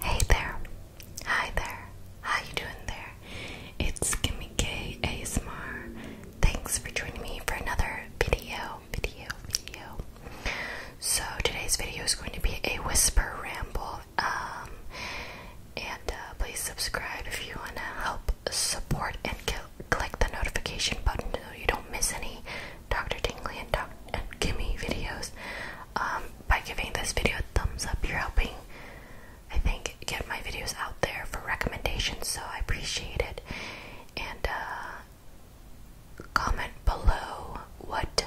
Hey there, hi there, how you doing there? It's Kimmy K ASMR. Thanks for joining me for another video, video, video. So today's video is going to be a whisper ramble. Um, and uh, please subscribe if you wanna help support and click the notification button so you don't miss any Dr. Dingley and Dr. and Kimmy videos. Um, by giving this video a thumbs up, you're helping, I think, get my videos out there for recommendations, so I appreciate it. And uh, comment below what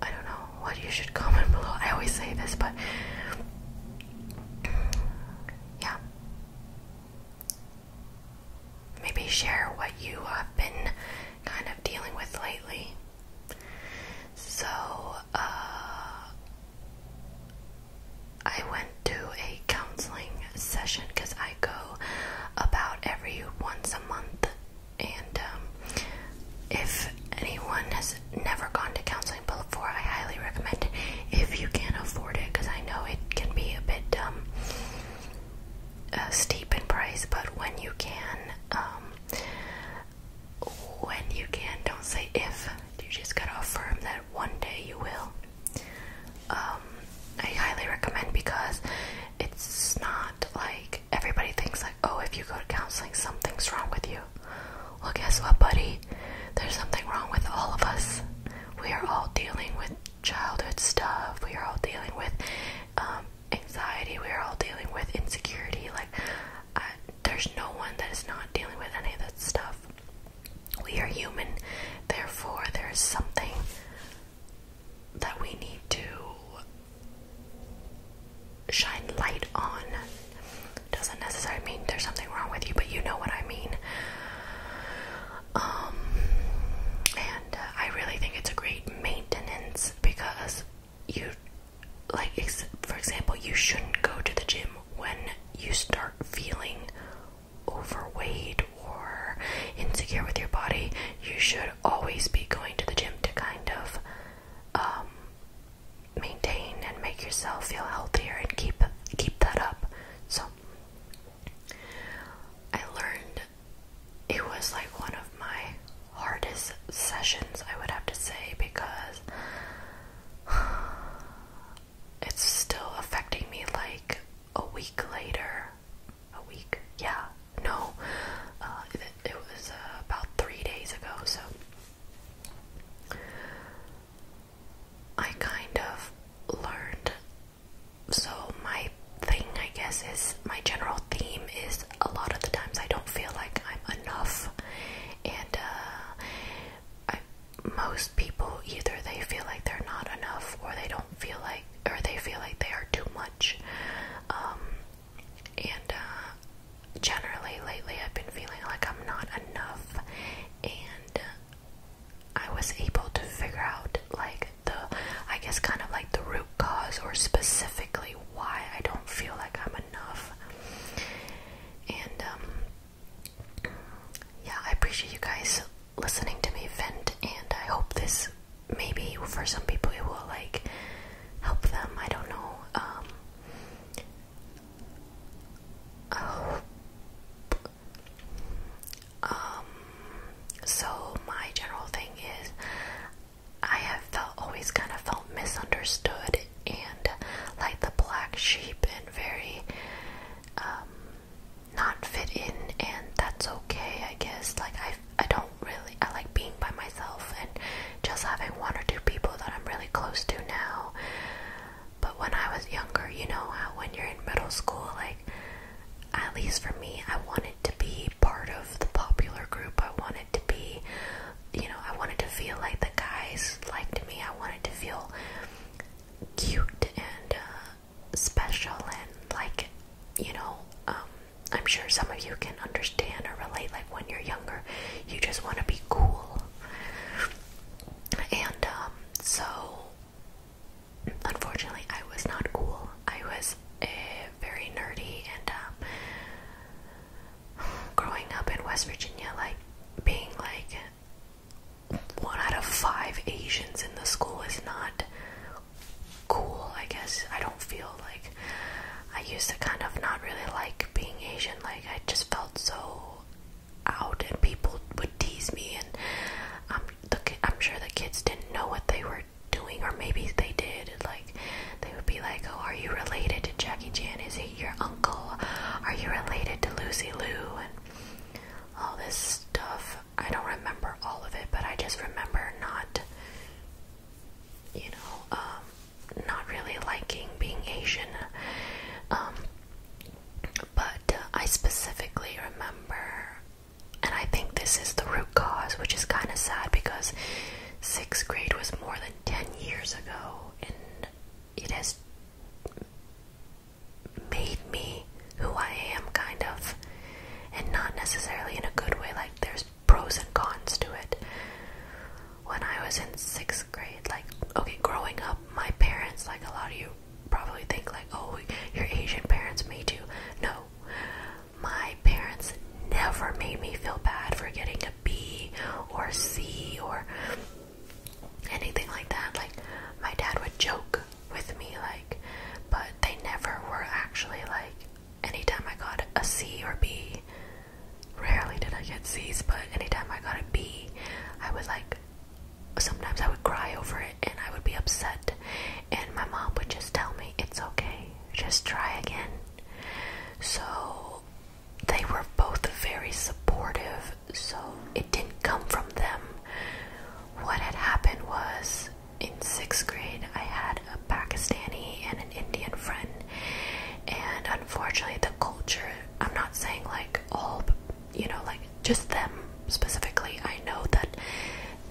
I don't know what you should comment below. I always say this, but yeah. Maybe share what you have been kind of dealing with lately. So, uh, I went to a counseling session because I go about every once a month. And um, if anyone has never gone to counseling before, I highly recommend it if you can afford it because I know it can be a bit dumb steep in price, but when you can, um, when you can, don't say if. You just gotta affirm that one day you will. Um, I highly recommend because it's not like everybody thinks like, oh, if you go to counseling, something's wrong with you. Well, guess what, buddy? There's something wrong with all of us. We are all dealing with childhood stuff we are all dealing with um, anxiety we are all dealing with insecurity like there's no one that is not dealing with any of that stuff we are human therefore there is something that we need to shine light on doesn't necessarily mean there's something wrong with you but you know what i mean um, and uh, I really think it's a great maintenance because you, like, for example, you shouldn't go to the gym when you start feeling overweight or insecure with your body. You should always be going to the gym to kind of, um, maintain and make yourself feel healthier and keep keep that up. So I learned it was like one of my hardest sessions, I would have to say, because it's still affecting me like a week later. A week? Yeah. No. Uh, it, was uh, about three days ago, so. I kind of learned so my thing I guess is my general theme is a lot of the times I don't feel like I'm enough and uh, I most people either they feel like they're not enough or they don't feel like or they feel like they are too much um, and uh, generally lately I've been feeling like I'm not enough and uh, I was able to figure out like the I guess kind of like the root cause or specifically why I don't feel like I'm enough. And um yeah, I appreciate you guys listening to me vent and I hope this maybe for some people it will like help them. I don't know. Um oh, um, so my general thing is I have felt always kind of felt misunderstood and like the black sheep and very um not fit in and that's okay I guess like I I don't really I like being by myself and just having one or two people that I'm really close to now but when I was younger, you know how when you're in middle school, like, at least for me, I wanted to be part of the popular group. I wanted to be, you know, I wanted to feel like the guys liked me. I wanted to feel cute and uh, special and like, you know, um, I'm sure some of you can understand or relate. Like when you're younger, you just want to be cool. And um, so unfortunately, I was not cool. I was a very nerdy, and um, growing up in West Virginia, like being like one out of five Asians in the school is not cool. I guess I don't feel like I used to kind of not really like being Asian. Like I just felt so out and people would tease me and um, the, I'm sure the kids didn't know what they were doing or maybe they did like they would be like oh are you related to Jackie Chan is he your uncle are you related to Lucy Liu and all this stuff I don't remember all of it but I just remember not you know um not really liking being Asian um but I specifically remember, and I think this is the root cause, which is kind of sad because sixth grade was more than 10 years ago, and it has made me who I am, kind of, and not necessarily in a good way. Like, there's pros and cons to it. When I was in sixth grade, like, okay, growing up, my parents, like a lot of you you probably think like, oh, your Asian parents made you. No, my parents never made me feel bad for getting a B or C or anything like that. Like my dad would joke with me, like, but they never were actually like. Anytime I got a C or B, rarely did I get C's, but anytime I got a B, I would like sometimes I would cry over it and I would be upset, and my mom would just tell me, It's okay, just try again. So they were both very supportive, so it didn't come from them. What had happened was in sixth grade, I had a Pakistani and an Indian friend, and unfortunately, the culture I'm not saying like all you know, like just them specifically. I know that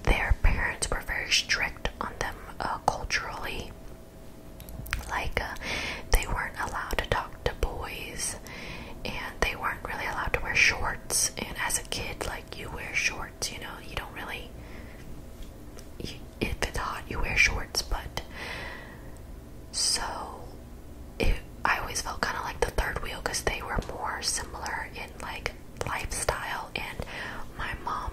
their parents were very strict on them uh, culturally. Like, uh, they weren't allowed to talk to boys, and they weren't really allowed to wear shorts. And as a kid, like, you wear shorts, you know, you don't really. You, if it's hot, you wear shorts, but so I always felt kind of like the third wheel because they were more similar in like lifestyle. And my mom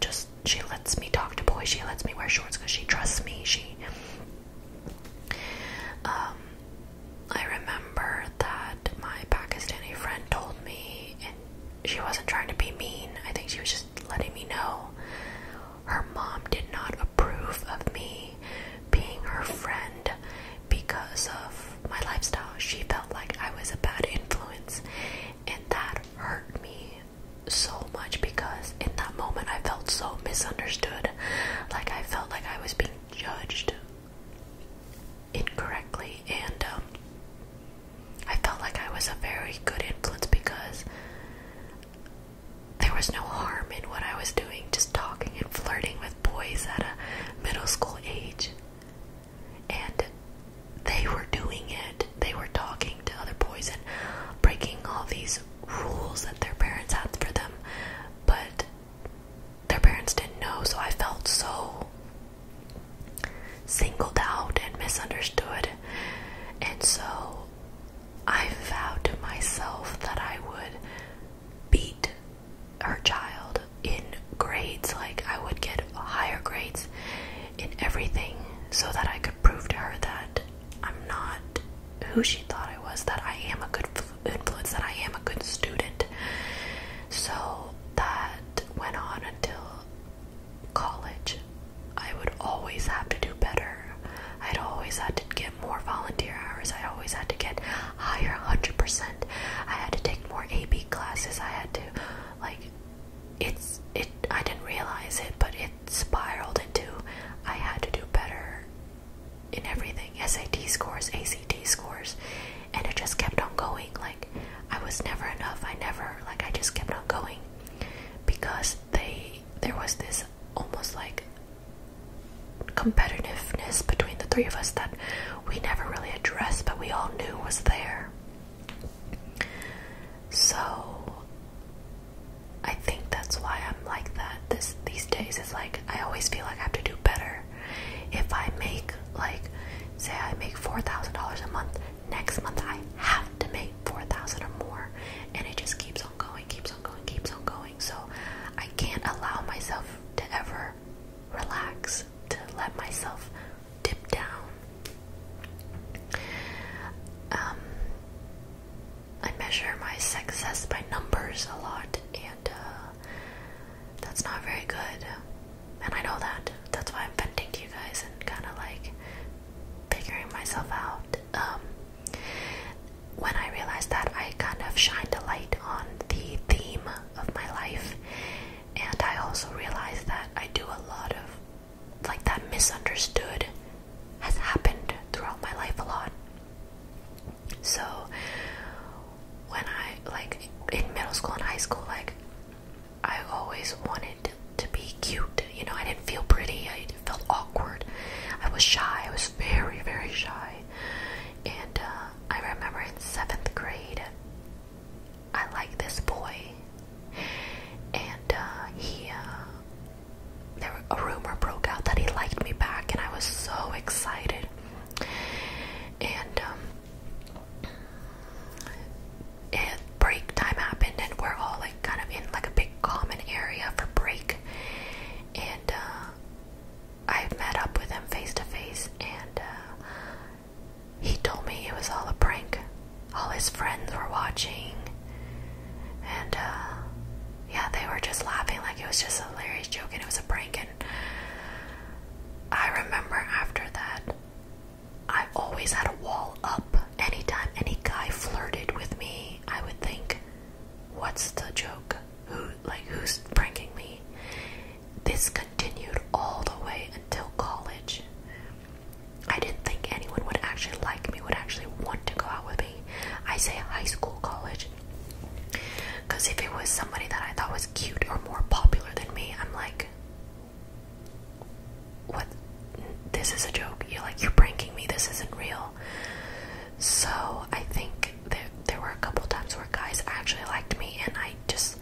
just she lets me talk to boys. She lets me wear shorts because she trusts me. She. Um, I remember that my Pakistani friend told me, and she wasn't trying to be mean. I think she was just letting me know her mom did not approve of me being her friend because of my lifestyle. She felt like I was a bad influence, and that hurt me so much because in that moment I felt so misunderstood. Like I felt like I was being judged incorrectly, and um, I felt like I was a very good influence because there was no harm in what I was doing, just talking and flirting with boys at a middle school age. And they were doing it. They were talking to other boys and breaking all these rules that their parents had for them. But their parents didn't know, so I felt so singled out and misunderstood. And so I vowed to myself that I would beat her child in grades. Like, I would get higher grades in everything so that I could prove to her that I'm not who she thought I was, that I am a good influence, that I am a good student. So that went on until college. I would always have to do better. I'd always had to get more volunteer hours. I always had to get higher 100%. I had to take more AB classes. I had to like it's it I didn't realize it, but it spiraled into I had to do better in everything. SAT scores, ACT scores, and it just kept on going like I was never enough. I never like I just kept on going because they there was this almost like competitiveness between the three of us that we never really addressed, but we all knew was there. So I think that's why I'm like that this these days is like I always feel like I have to do better. If I make like say I make four thousand dollars a month, next month I have to make 4,000 or more and it just keeps on going, keeps on going, keeps on going. So I can't allow myself to ever relax, to let myself dip down. Um, I measure my success by numbers a lot and uh, that's not very good. And I know that. That's why I'm venting to you guys and kind of like figuring myself out. Um, when I realized that, I kind of shined a light on the theme of my life, and I also realized that I do a lot of like that misunderstood has happened throughout my life a lot. So, when I like in middle school and high school, like I always wanted to be cute. You know, I didn't feel pretty. I felt awkward. I was shy. I was very, very shy. And uh, I remember in seventh grade, I liked this boy, and uh, he. Uh, there a rumor broke out that he liked me back, and I was so excited. And um, and break time happened and we're all like kind of in like a big common area for break and uh, I met up with him face to face and uh, he told me it was all a prank all his friends were watching and uh, yeah they were just laughing like it was just a hilarious joke and it was a prank and I remember after that I always had a wall up. Anytime any guy flirted with me, I would think, what's the joke? Who, like, who's pranking me? This continued all the way until college. I didn't think anyone would actually like me, would actually want to go out with me. I say high school, college. Because if it was somebody that I thought was cute or more popular than me, I'm like, what this is a joke you're like you're pranking me this isn't real so i think there, there were a couple times where guys actually liked me and i just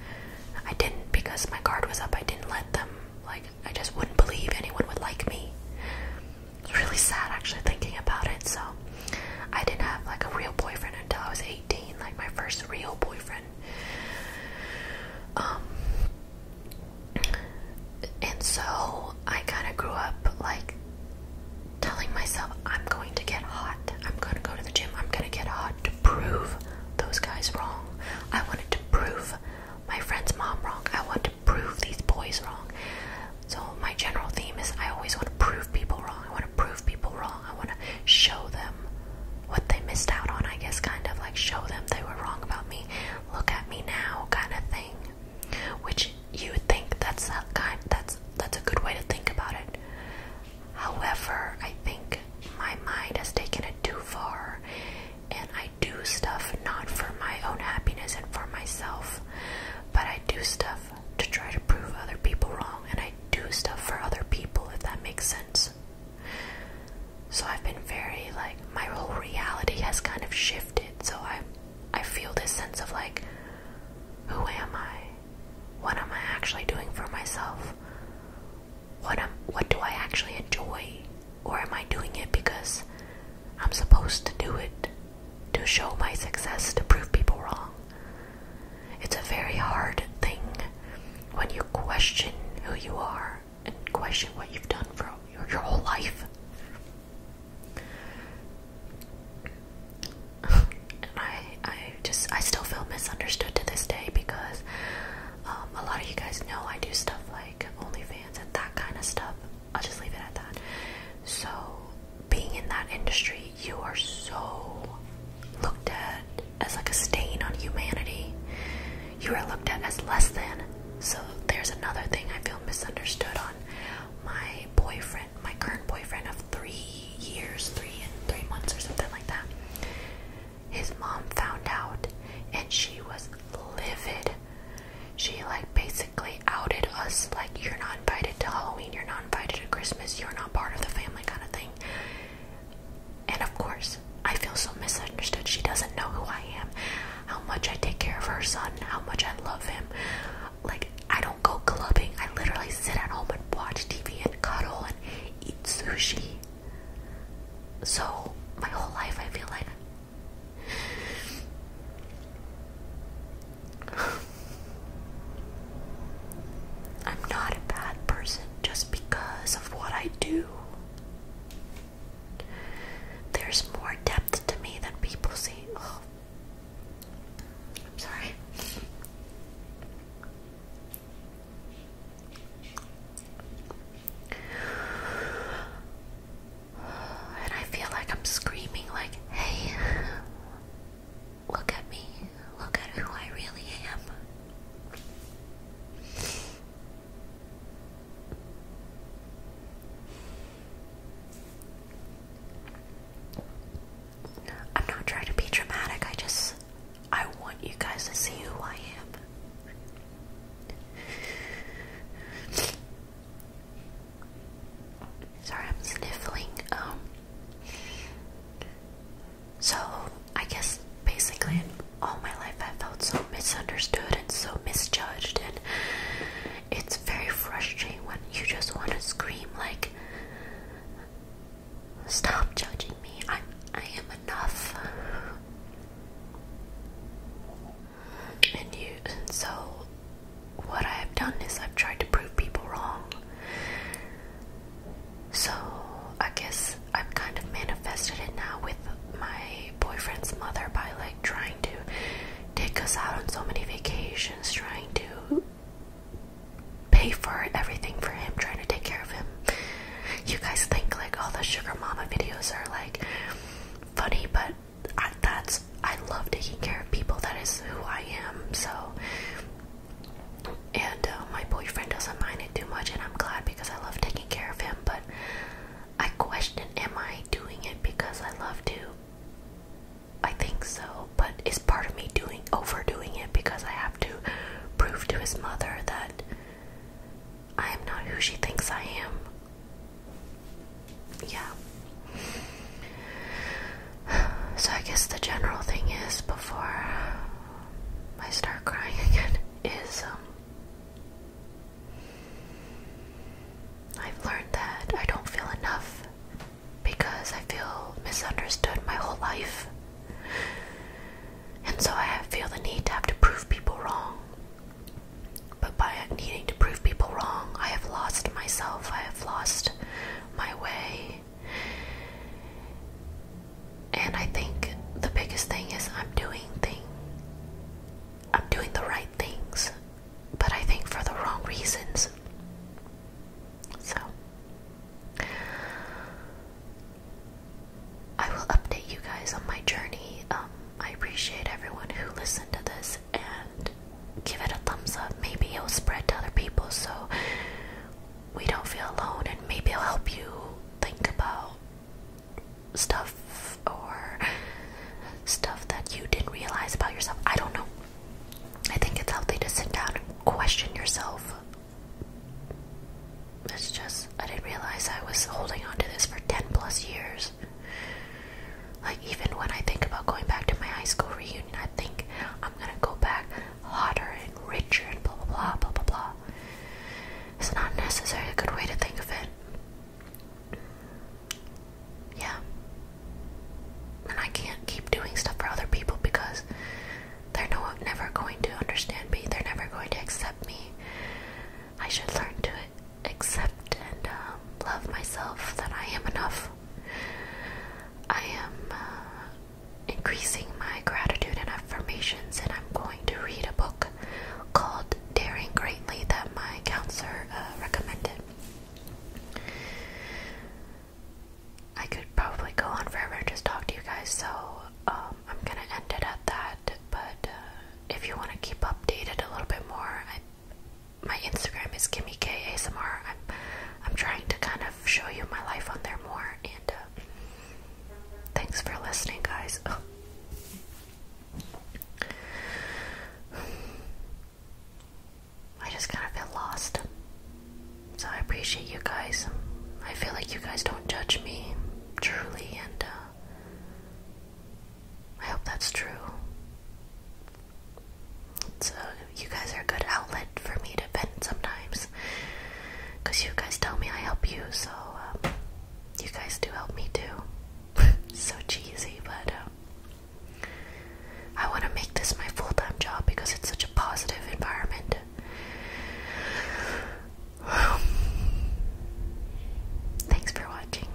i didn't because my guard was up i didn't let them like i just wouldn't believe anyone would like me it's really sad actually thinking about it so i didn't have like a real boyfriend until i was 18 like my first real boyfriend um and so I kind of grew up like telling myself, I'm going to get hot. I'm going to go to the gym. I'm going to get hot to prove those guys wrong. I wanted to prove my friend's mom wrong. I want to prove these boys wrong. So, my general theme is I always want to prove people wrong. I want to prove people wrong. I want to show them what they missed out on, I guess, kind of like show them they were wrong about me, look at me now, kind of thing. Which you would think that's that kind that's that's a good way to think about it. However, I think my mind has taken it too far and I do stuff not for my own happiness and for myself, but I do stuff to try to prove other people wrong and I do stuff for other people if that makes sense. So I've been very like my whole reality has kind of shifted. So I I feel this sense of like who am I? What am I actually doing for myself? What am what do I actually enjoy? Or am I doing it because I'm supposed to do it to show my success to prove people wrong? It's a very hard thing when you question who you are and question what you've done for your, whole life. I, I just, I still feel misunderstood to this day because um, a lot of you guys know I do stuff like OnlyFans and that kind of stuff. I'll just leave it at that. So, being in that industry, you are so looked at as like a stain on humanity. You are looked at as less than. So there's another thing I feel misunderstood on. My boyfriend, my current boyfriend of three years, three and three months or something like that. His mom found out and she was livid. She like basically outed us like you're not invited to Halloween, you're not invited to Christmas, you're not part of the family kind of thing. And of course, I feel so misunderstood. She doesn't know who I am, how much I take care of her son, how much I love him. Like, I don't go clubbing. I literally sit at home and watch TV and cuddle and eat sushi. So, my whole life, I feel like. I'm not a bad person just because of what I do. There's more depth to me than people see. I'm sorry. And I feel like I'm screaming, like, hey, Look at me. Look at who I really am. I'm not trying to be dramatic. I just I want you guys to see who I am. Sorry, I'm sniffling. Um so, I guess basically all my life I felt so misunderstood and so misjudged, and it's very frustrating when you just want to scream, like, stop judging me, I'm, I am enough. And you, so, what I have done is I've tried to prove people wrong. So I guess I've kind of manifested it now with my boyfriend's mother by like trying to take us out on so many vacations, trying to pay for everything for him, trying to take care of him. You guys think like all the sugar mama videos are like funny, but that's I love taking care of people. That is who I am. So and uh, my boyfriend doesn't mind it too much, and I'm glad because I love taking care of him. But I question am I doing it because I love to? I think so, but it's part of me doing overdoing it because I have to prove to his mother that I am not who she thinks I am. Yeah. So I guess the general thing is before I start crying again is um, I've learned that I don't feel enough because I feel misunderstood my whole life. And so I feel the need to have to prove people wrong. But by needing to prove people wrong, I have lost myself, I have lost my way, and I think the biggest thing is I'm doing thing I'm doing the right things, but I think for the wrong reasons. So I will update you guys on my journey. Um, I appreciate everyone who listened to this and give it a thumbs up. Maybe it'll spread to other people so we don't feel alone, and maybe it'll help you think about stuff or stuff that you didn't realize about yourself. I don't know. I think it's healthy to sit down and question yourself. It's just, I didn't realize I was holding on to this for 10 plus years. Like, even when I think about going back to my high school reunion, I I think I'm gonna go back hotter and richer and blah blah blah blah blah blah. It's not necessarily a good way to think of it. Yeah. And I can't keep doing stuff for other people because they're never going to understand me. They're never going to accept me. I should learn to accept and um, love myself that I am enough. I am uh, increasing my gratitude and affirmations, and I'm going to read a book called Daring Greatly that my counselor uh, recommended. I could probably go on forever and just talk to you guys, so um, I'm gonna end it at that. But uh, if you want to keep updated a little bit more, I my Instagram is Kimmy K ASMR. I'm I'm trying to kind of show you my life on there more. And uh, thanks for listening, guys. I just kind of feel lost. So I appreciate you guys. I feel like you guys don't judge me truly, and uh, I hope that's true. So you guys are a good outlet for me to vent sometimes, cause you guys tell me I help you, so um, you guys do help me too. so cheesy, but uh, I want to make this my full-time job because it's such a positive environment. Thanks for watching.